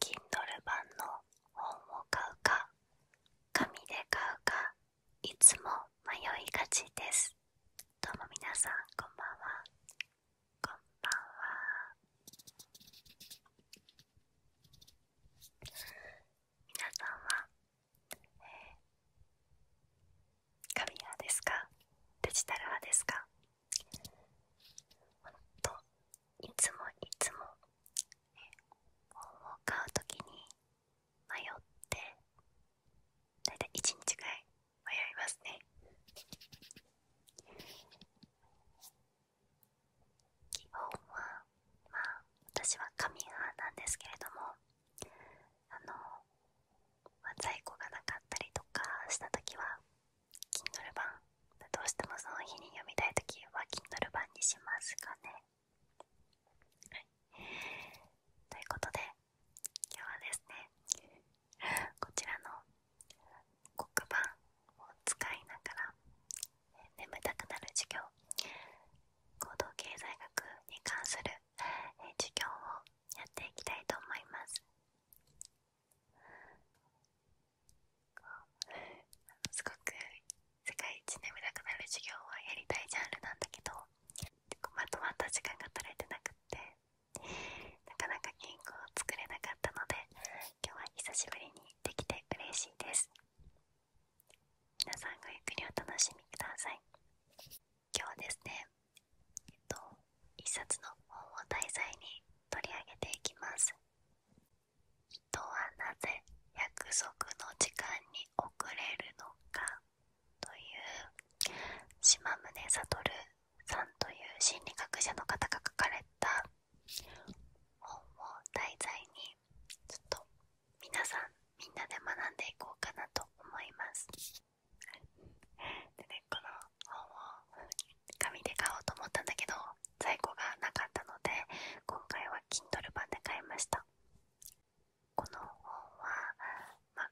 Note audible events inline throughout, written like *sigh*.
Kindle 版の本を買うか紙で買うかいつも迷いがちですどうもみなさんこんばんはこんばんはみなさんは、えー、紙派ですかデジタル派ですかほんといつもいつも本を買うときに迷ってだいたい1日ぐらい迷いますね基本はまあ私は紙派なんですけれどもあの、在庫がなかったりとかした時は Kindle 版どうしてもその日に読みたい時は Kindle 版にしますかねということで今日はですねこちらの黒板を使いながら眠たくなる授業行動経済学に関する授業をやっていきたいと思いますすごく世界一眠たくなる授業はやりたいジャンルなんだけどまとまった時間が取れてなくってなかなか原稿を作れなかったので今日は久しぶりにできて嬉しいです皆さんごゆっくりお楽しみください今日ですねえっと一冊の本を題材に取り上げていきます人はなぜ約束の時間に遅れるのかという島宗悟さんという心理学者の方が書かれた本を題材にちょっと皆さんみんなで学んでいこうかなと思います本を紙で買おうと思ったんだけど在庫がなかったので今回は Kindle 版で買いましたこの本は、ま、あ。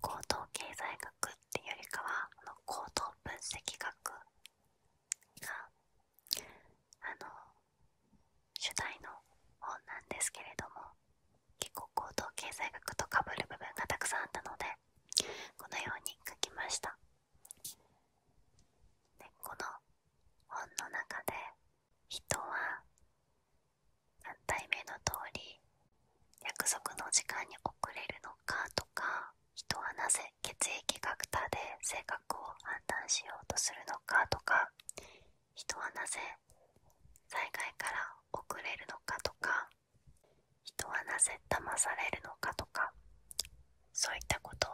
高等経済学っていうよりかはあの高等分析学があの主題の本なんですけれども結構高等経済学とかぶる部分がたくさんあったのでこのように書きましたでこの本の中で人は何体目の通り約束の時間に遅れるのかとか人はなぜ血液クターで性格を判断しようとするのかとか人はなぜ災害から遅れるのかとか人はなぜ騙されるのかとかそういったことを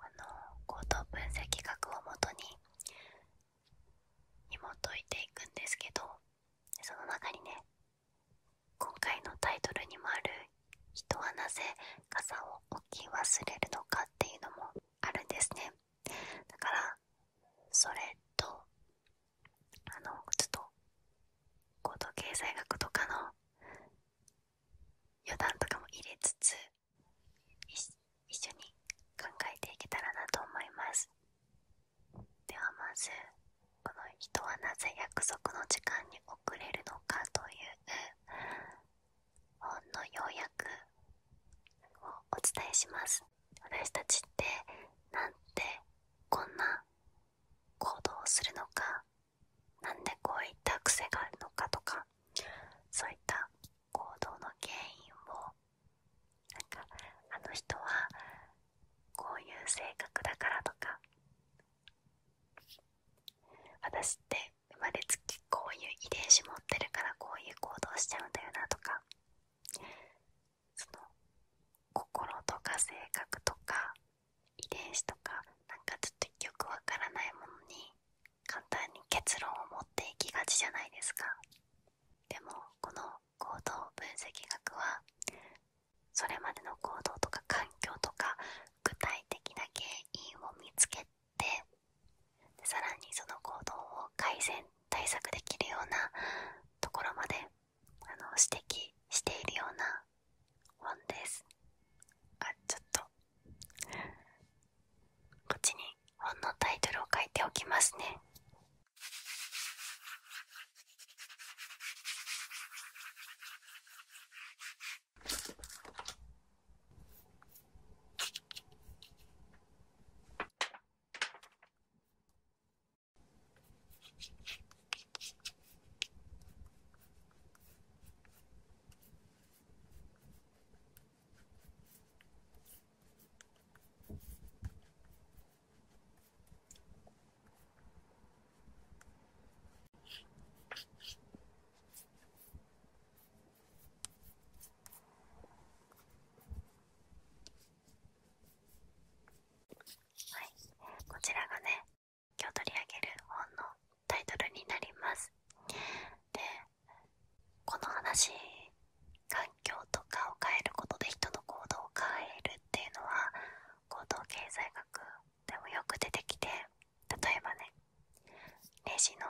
あの行動分析学をもとに紐解いていくんですけどその中にね今回のタイトルにもある「人はなぜ傘を置き忘れるのか」っていうのもあるんですねだからそれとあのちょっと高動経済学とかの余談とかも入れつつ一緒に考えていけたらなと思いますではまずこの人はなぜ約束の時間に遅れるのかという本の要約をお伝えします私たちってなんてこんな行動するのかなんでこういった癖があるのかとかそういった行動の原因をなんかあの人はこういう性格だからとか私って生まれつきこういう遺伝子持ってるからこういう行動しちゃうんだよなとかその心とか性格とか遺伝子とかなんかちょっとよくわからないものに簡単に結論を持っていきがちじゃないですかでもこの行動分析学はそれまでの行動とか環境とか具体的な原因を見つけてでさらにその行動を改善対策できるようなところまであの指摘しているような本ですあちょっとこっちに本のタイトルを書いておきますねはい、こちらがね今日取り上げる本のタイトルになりますでこの話環境とかを変えることで人の行動を変えるっていうのは行動経済学でもよく出てきて例えばねレジの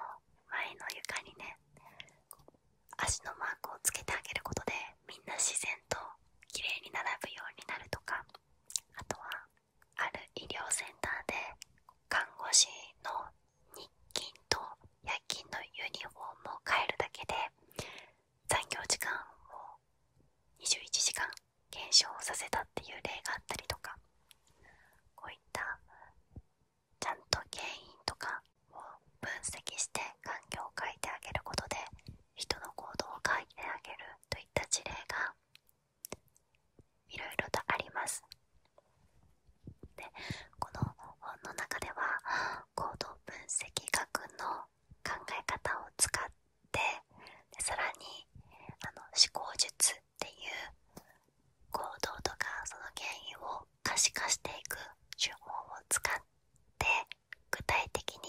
前の床にね足のマークをつけてあげることでみんな自然と綺麗に並ぶようになるとかあとはある医療センターで看護師の日勤と夜勤のユニフォームを変えるだけで残業時間を21時間減少させたっていう例があったりとかこういったちゃんと原因とかを分析して環境を変えてあげることで人の行動を変えてあげるといった事例がいろとありますでこの本の中では行動分析学の考え方を使ってでさらにあの思考術っていう行動とかその原因を可視化していく手法を使って具体的に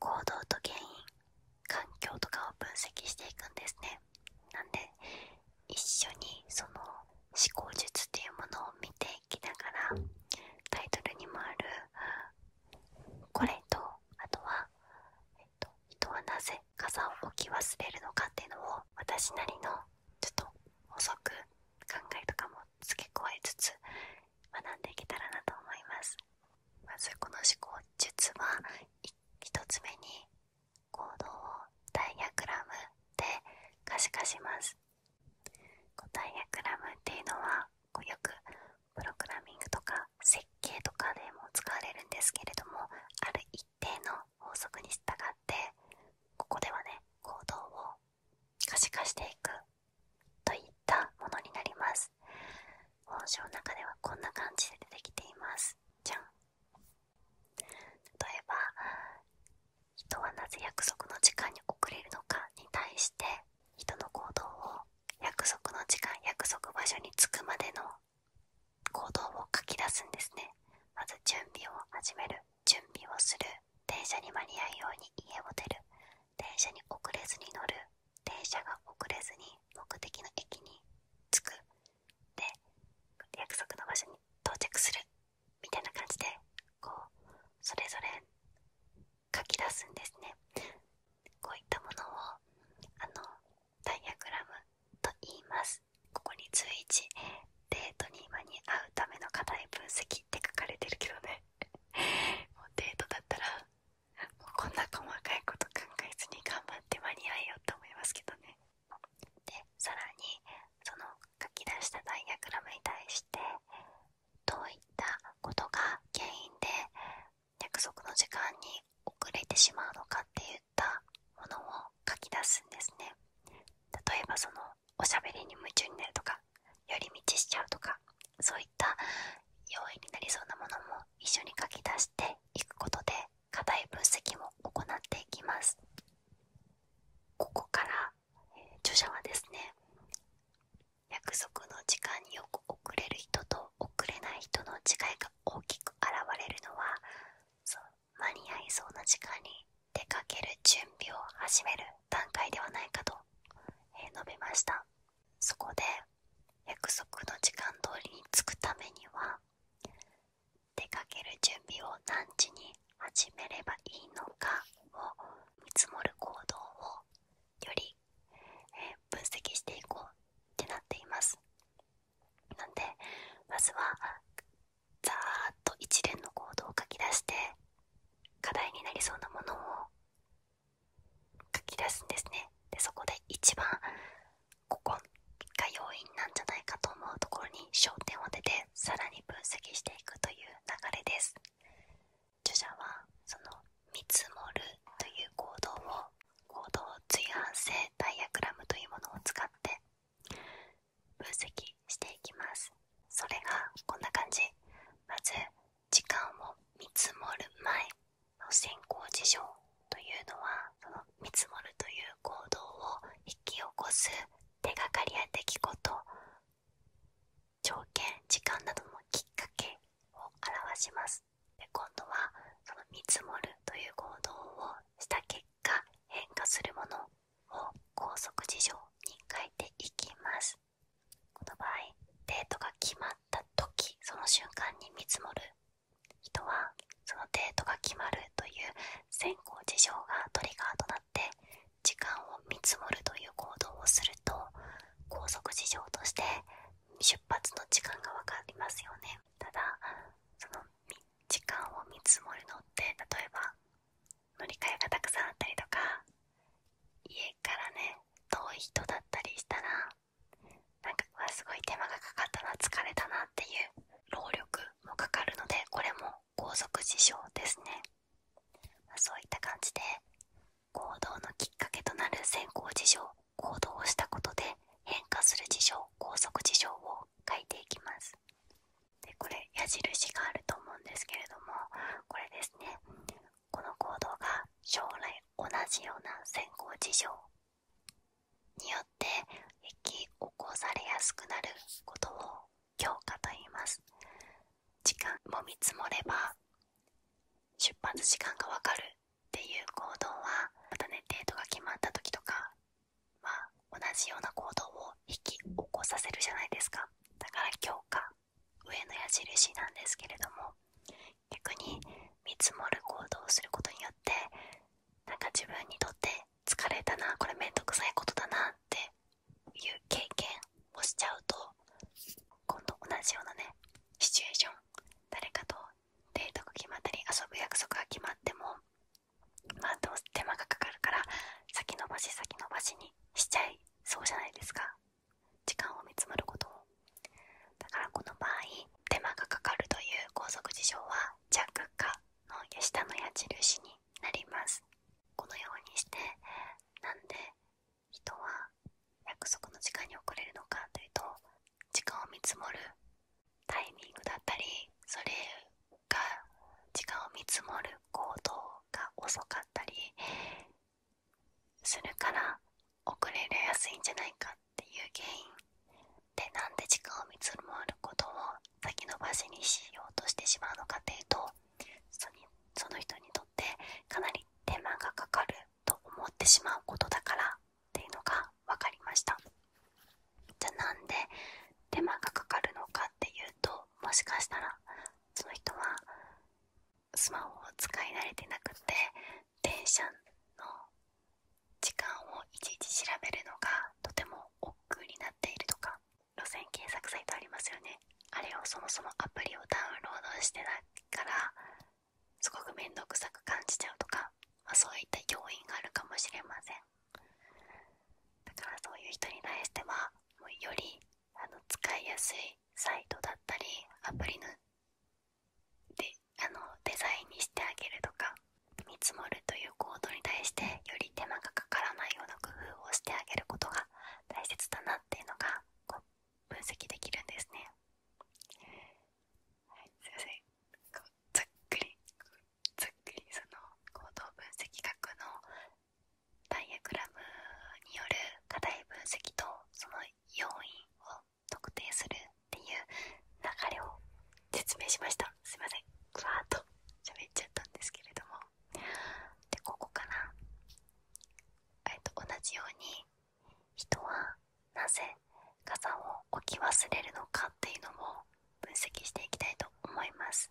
行動と原因環境とかを分析していくんですねなんで一緒にその思考術っていうものを見ていきながらタイトルにもあるこれとあとは、えっと、人はなぜ傘を置き忘れるのかっていうのを私なりのちょっと遅く考えとかも付け加えつつ学んでいけたらなと思いますまずこの思考術は1つ目に行動をダイヤグラムで可視化しますダイヤグラムっていうのはこうよくプログラミングとか設計とかでも使われるんですけれどもある一定の法則に従ってここではね行動を可視化していくといったものになります本書の中ではこんな感じで出てきていますじゃん例えば「人はなぜ約束の時間に遅れるのか」に対して人の行動を約束の時間約束場所に着くまでの行動を書き出すんですねまず準備を始める準備をする電車に間に合うように家を出る電車に遅れずに乗る電車が遅れずに目的の駅に着くで約束の場所に到着するみたいな感じでこうそれぞれ書き出すんですねこういったものをあのダイアグラムと言いますここに随一デートに今に合うための課題分析って書かれてるけどね *laughs* もうデートだったらこんな細かいこと考えずに頑張って間に合いようと思いますけどねでさらにその書き出したダイヤグラムに対してどういったことが原因で約束の時間に遅れてしまうのかっていったものを書き出すんですね例えばそのおしゃべりに夢中になるとか寄り道しちゃうとかそういった要因になりそうなものも一緒に書き出していくことで課題分析も行っていきますここから、え著者はですね約束の時間によく遅れる人と遅れない人の違いが大きく現れるのは間に合いそうな時間に出かける準備を始める段階ではないかと、え述べました。そこで約束の時間通りに着くためには出かける準備を何時に始めればいいのかを見積もる行動をより、え分析していこうってなっています。なんでまずはザーっと一連の行動を書き出して課題になりそうなものを書き出すんですねでそこで一番ここが要因なんじゃないかと思うところに焦点を出てさらに分析していくという流れです著者はその見積もるという行動を行動随伴性ダイアグラムというものを使って分析していきますそれがこんな感じまず時間を見積もる前の先行事情というのはその見積もるという行動を引き起こす手がかりや出来事条件時間などのきっかけを表しますで今度はその見積もるという行動をした結果変化するものを高速事情に変えていきますこの場合デートがた時その瞬間に見積もる人はそのデートが決まるという先行事情がトリガーとなって時間を見積もるという行動をすると高速事情として出発の時間が分かりますよねただその時間を見積もるのって例えば乗り換えがたくさんあったりとか家からね遠い人だったりしたらなんかうわすごい手間がかかったな疲れたなっていう労力もかかるのでこれも拘束事象ですね、そういった感じで行動のきっかけとなる先行事情、行動をしたことで変化する事情拘束事象を書いていきますでこれ矢印があると思うんですけれどもこれですねこの行動が将来同じような先行事情によって引き起こされやすくなることを強化と言います時間も見積もれば出発時間がわかるっていう行動はまたねデートが決まった時とかは同じような行動を引き起こさせるじゃないですかだから強化上の矢印なんですけれども逆に見積もる行動をすることによってなんか自分にとって疲れたなこれめんどくさいことだなっていう経験をしちゃうと今度同じようなねシチュエーション誰かとデートが決まったり遊ぶ約束が決まってもまあどう手間がかかるから先延ばし先延ばしにしちゃいそうじゃないですか時間を見つめることだからこの場合手間がかかるという高速事象は弱化の下の矢印になりますこのようにしてなんで人は約束の時間に遅れるのかというと時間を見積もるタイミングだったりそれが時間を見積もる行動が遅かったりするから遅れやすいんじゃないかっていう原因でなんで時間を見積もることを先延ばしにしようとしてしまうのかっていうとその人にとってかなり手間がかかると思ってしまうことだからっていうのが分かりましたじゃあなで手間がかかるのかっていうともしかしたらその人はスマホを使い慣れてなくて電車の時間をいちいち調べるのがとても億劫になっているとか路線検索サイトありますよねあれをそもそもアプリをダウンロードしてないからすごく面倒くさく感じちゃうとか、まそういった要因があるかもしれませんだからそういう人に対してはもうよりあの使いやすいサイトだったりアプリのであのデザインにしてあげるとか見積もるという行動に対してより手間がかからないような工夫をしてあげることが大切だなっていうのがこう分析できるんですね。はい、すいませんこうざっくりざっくりその行動分析学のダイアグラムによる課題分析とその要因を特定するっていう流れを説明しましたすいませんふわーっと喋っちゃったんですけれどもでここかなえっと同じように人はなぜ傘を置き忘れるのかっていうのも分析していきたいと思います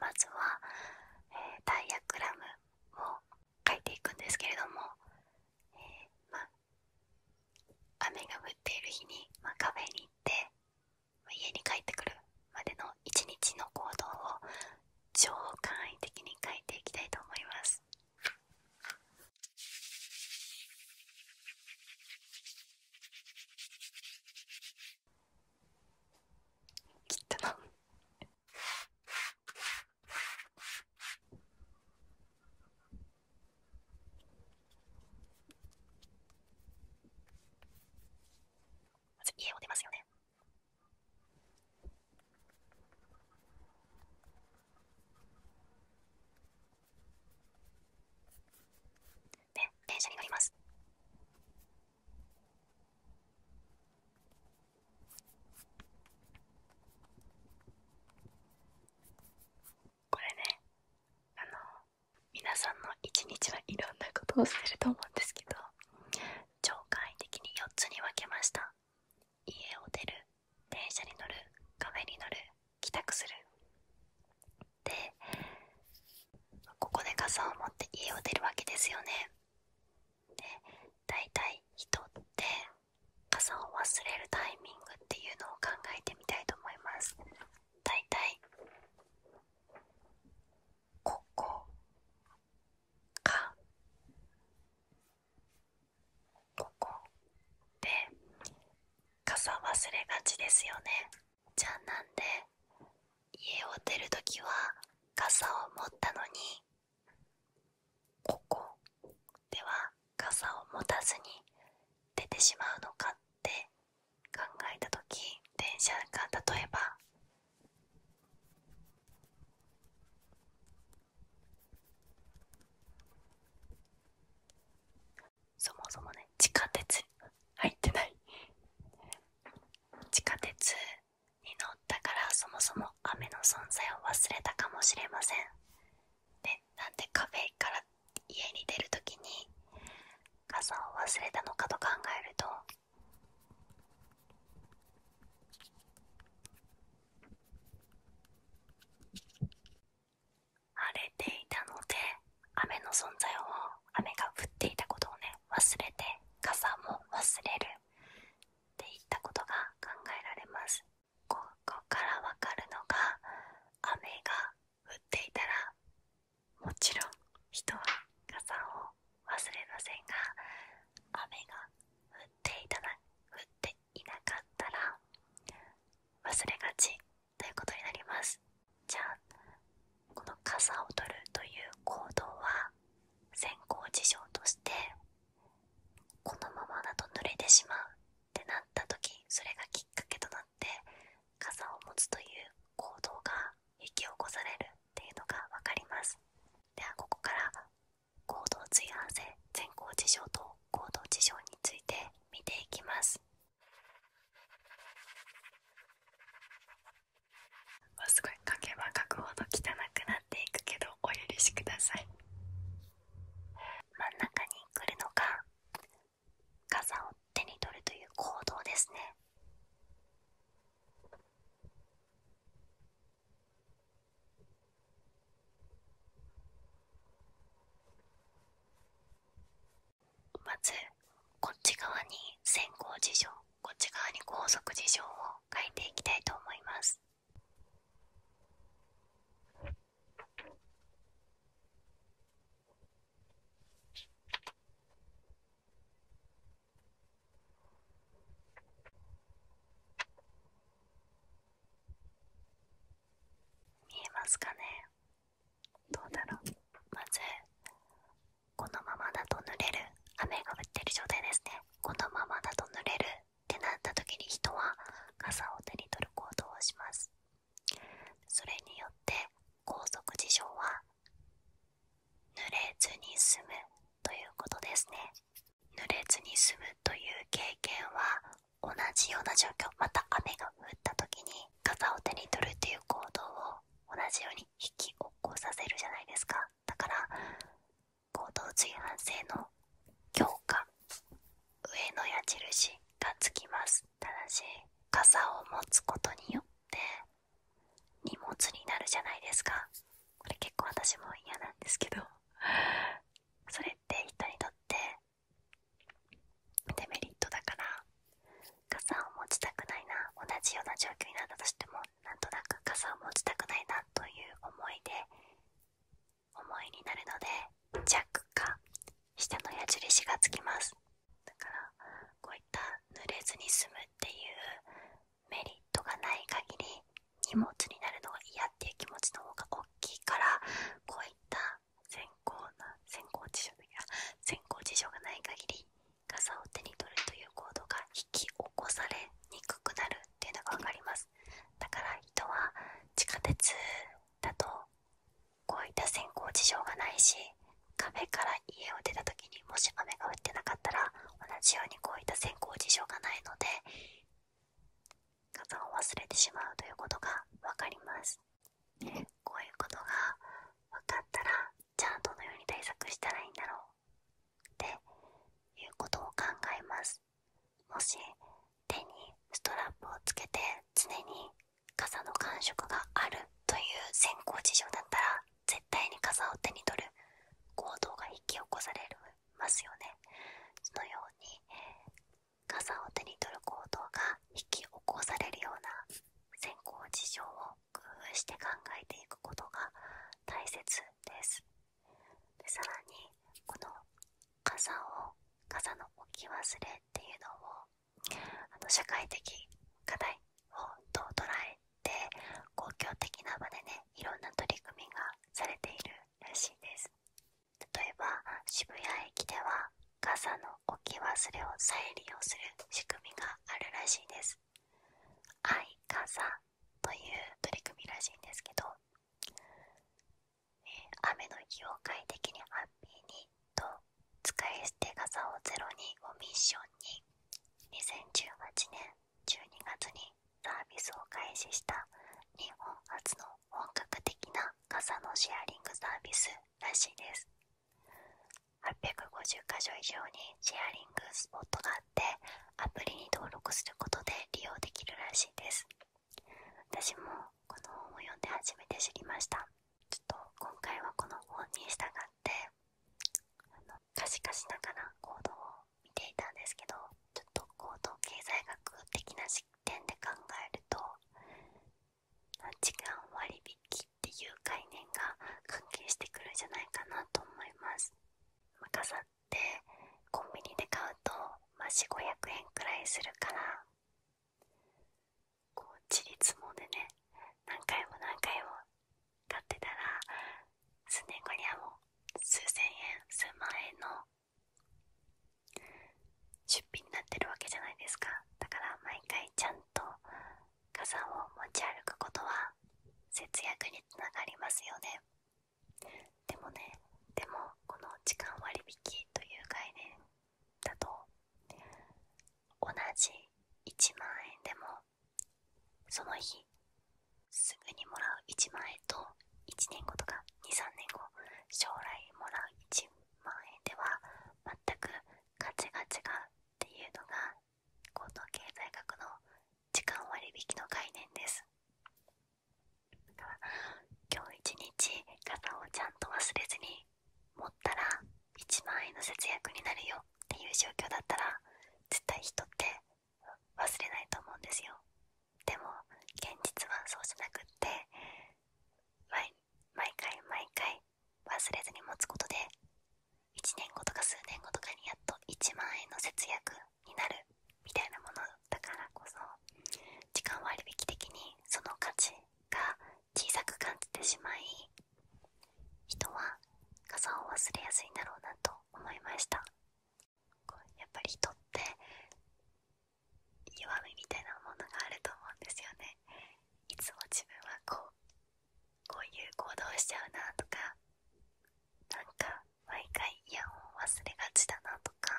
まずは、えダイアグラムを書いていくんですけれども、雨が降っている日に、まカフェに行って、ま家に帰ってくるまでの一日の行動を超簡易的に書いていきたいと思います。切ったのまず家を出ますよね。で、電車に乗ります。これねあの皆さんの一日はいろんなことをしてると思うんですけど超簡易的に4つに分けました家を出る電車に乗るカに乗る帰宅するでここで傘を持って家を出るわけですよねで大体人って傘を忘れるタイミングっていうのを考えてみたいと思いますだいたいここかここで傘忘れがちですよねじゃあなんで家を出るときは傘を持ったのにここでは傘を持たずに出てしまうのかって考えた時電車が例えばそもそもね地下鉄入ってない地下鉄に乗ったからそもそも雨の存在を忘れたかもしれませんでなんでカフェから家に出るときに傘を忘れたのかと考えると晴れていたので雨の存在を雨が降っていたことをね忘れて傘も忘れるっていったことが考えられます。ここからわかるのが雨が降っていたらもちろん人は傘を忘れませんが雨が降っていたな降っていなかったら忘れがちということになりますじゃあこの傘を取るという行動は先行事情としてこのままだと濡れてしまうってなった時それがきっかけとなって傘を持つという行動が引き起こされるっていうのが分かりますではここから行動随伴性前行事象と行動事象について見ていきますすごい書けば書くほど汚くなっていくけどお許しください真ん中に来るのが傘を手に取るという行動ですね。まずこっち側に先行事情こっち側に高速事情を書いていきたいと思います。見えますかねどうだろうまずこのままだと濡れる雨が降ってる状態ですねこのままだと濡れるってなった時に人は傘を手に取る行動をしますそれによって高速事象は濡れずに済むということですね濡れずに済むという経験は同じような状況また雨が降った時に傘を手に取るっていう行動を同じように引き起こさせるじゃないですかだから行動随伴性の強化上の矢印がつきますただし傘を持つことによって荷物になるじゃないですかこれ結構私も嫌なんですけどそれって人にとってデメリットだから傘を持ちたくないな同じような状況になったとしてもなんとなく傘を持ちたくないなという思いで重いになるので弱か下の矢印がつきますだからこういった濡れずに済むっていうメリットがない限り荷物になるのが嫌っていう気持ちの方が大きいからこういった先行な先行事情的先行事情がない限り傘を手に取るという行動が引き起こされにくくなるっていうのが分かりますだから人は地下鉄だとこういった先行事情がないし壁から家を出た時にもし雨が降ってなかったら同じようにこういった先行事情がないので傘を忘れてしまうということが分かりますこういうことが分かったらじゃあどのように対策したらいいんだろうっていうことを考えますもし手にストラップをつけて常に傘の感触があるという先行事情だったら絶対に傘を手に取る行動が引き起こされますよねそのように傘を手に取る行動が引き起こされるような先行事情を工夫して考えていくことが大切です。さらにこの傘を傘の置き忘れっていうのを社会的課題をど捉えて公共的な場でねいろんな取り組みがされているらしいです例えば渋谷駅では傘の置き忘れを再利用する仕組みがあるらしいです愛傘という取り組みらしいんですけど雨の日、業界的にハッピーにと使い捨て傘をゼロにをミッションに2018年12月にサービスを開始した日本初の本格的な傘のシェアリングサービスらしいです850か所以上にシェアリングスポットがあってアプリに登録することで利用できるらしいです私もこの本を読んで初めて知りましたちょっと今回はこの本に従ってあの可視化しながら行動を見ていたんですけどちょっと行動経済学的な視点で考えると時間割引っていう概念が関係してくるんじゃないかなと思います。でコンビニで買うとまし4500円くらいするからこうちりつもでね何回も何回も買ってたら数年後にはもう数千円数万円の出費になってるわけじゃないですかだから毎回ちゃんと傘を持ち歩くことは節約につながりますよねでもねでもこの時間割引という概念だと同じ1万円でもその日すぐにもらう1万円と1年後とか23年後将来もらう1万円では全くガチガチがっていうのが高等経済学の時間割引の概念ですだから今日一日傘をちゃんと忘れずに持ったら1万円の節約になるよっていう状況だったら絶対人って忘れないと思うんですよでも現実はそうじゃなくって毎回毎回忘れずに持つことで1年後とか数年後とかにやっと1万円の節約になるみたいなものだからこそ時間割引的にその価値が小さく感じてしまい人は傘を忘れやすいんだろうなと思いましたやっぱり人って弱みみたいなものがあると思うんですよねいつも自分はこうこういう行動をしちゃうなとかなんか毎回嫌を忘れがちだなとか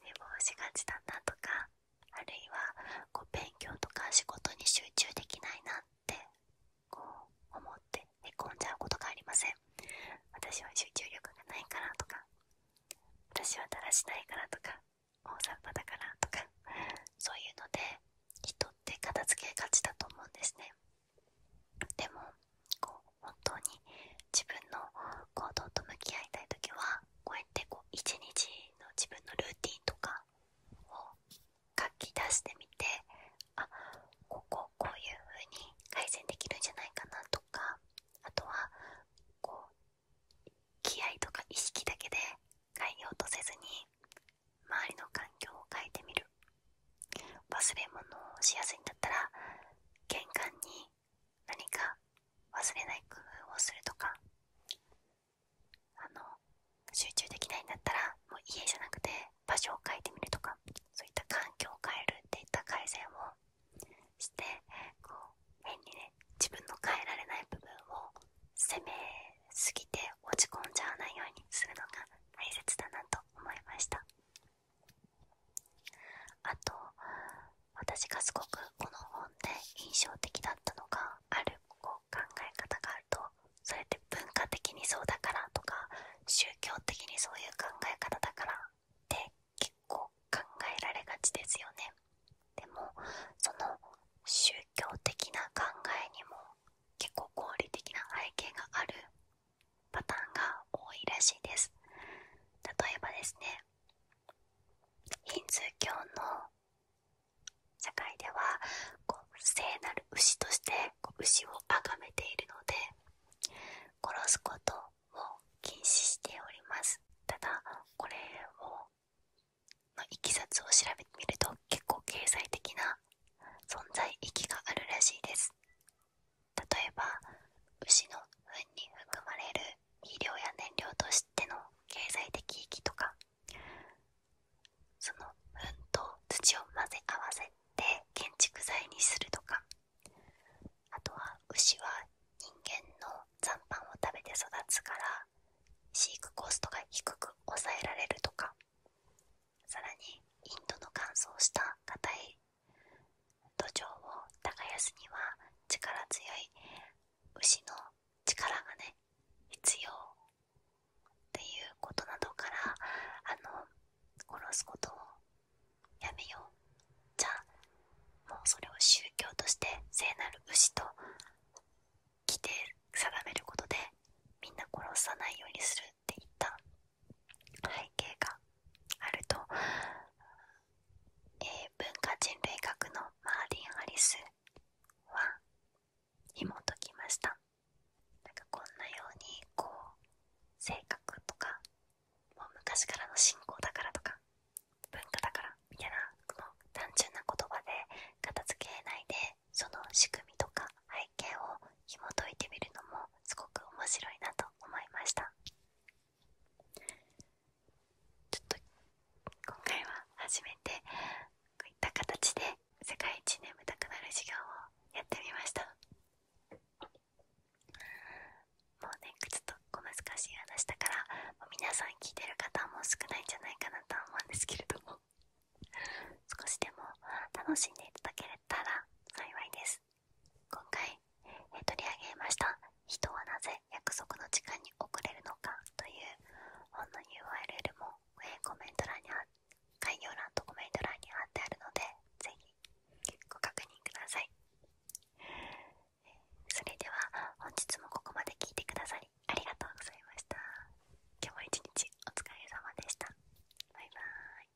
寝坊しがちだなとかあるいはこう勉強とか仕事に集中できないなってこう思って寝込んじゃうことがありません私は集中力がないからとか私はだらしないからとか大雑把だからとかそういうので人って片付けがちだと思うんですねでもこう本当に自分の行動と向き合いたい時はこうやってこう一日の自分のルーティンとかを書き出してみてあこここういう風に改善できるんじゃないかなとかあとはこう気合とか意識だけで変えようとせずに周りの環境を変えてみる忘れ物をしやすいんだったら玄関に何か忘れない工夫をするとかあの集中できないんだったらもう家じゃなくて場所を変えてみるとかそういった環境を変えるっていった改善をしてこう変にね自分の変えられない部分を責めすぎて落ち込んじゃわないようにするのが大切だなと思いました。あと私がすごくこの本で印象的だったのがあるこう考え方があるとそれって文化的にそうだからとか宗教的にそういう考え方だからって結構考えられがちですよね。でもその宗教的な考えにも結構合理的な背景があるパターンが多いらしいです例えばですねヒンズー教の社会ではこう聖なる牛としてこう牛を崇めているので殺すことも禁止しておりますただこれをのいきさつを調べてみると結構経済的な存在意義があるらしいです例えば牛の糞に含まれる肥料や燃料としての経済的意義とかその糞と土を混ぜ合わせて建築材にするとかあとは牛は人間の残飯を食べて育つから飼育コストが低く抑えられるとかさらにインドの乾燥した硬い土壌を耕すには力強い牛の力がね必要っていうことなどからあの殺すことをやめようじゃあもうそれを宗教として聖なる牛と規定定めることでみんな殺さないようにするって言った背景があると、え文化人類学のマーディン・アリスは紐解きましたなんかこんなようにこう性格とかもう昔からの信仰だからとか文化だからみたいな単純な言葉で片付けないでその仕組みとか背景を紐解いてみるのもすごく面白いなと思いましたちょっと今回は初めてこういった形で世界一眠たくなる授業をやってみましたもうねちょっと小難しい話だから皆さん聞いてる方も少ないんじゃないかなと思うんですけれども少しでも楽しんでいただけたら幸いです今回、え取り上げました「人はなぜ約束の時間に遅れるのか」という本の URL も、えー、コメント欄にあ概要欄とコメント欄に貼ってあるので是非ご確認ください、それでは本日もここまで聞いてくださりありがとうございました今日も一日お疲れ様でしたバイバーイ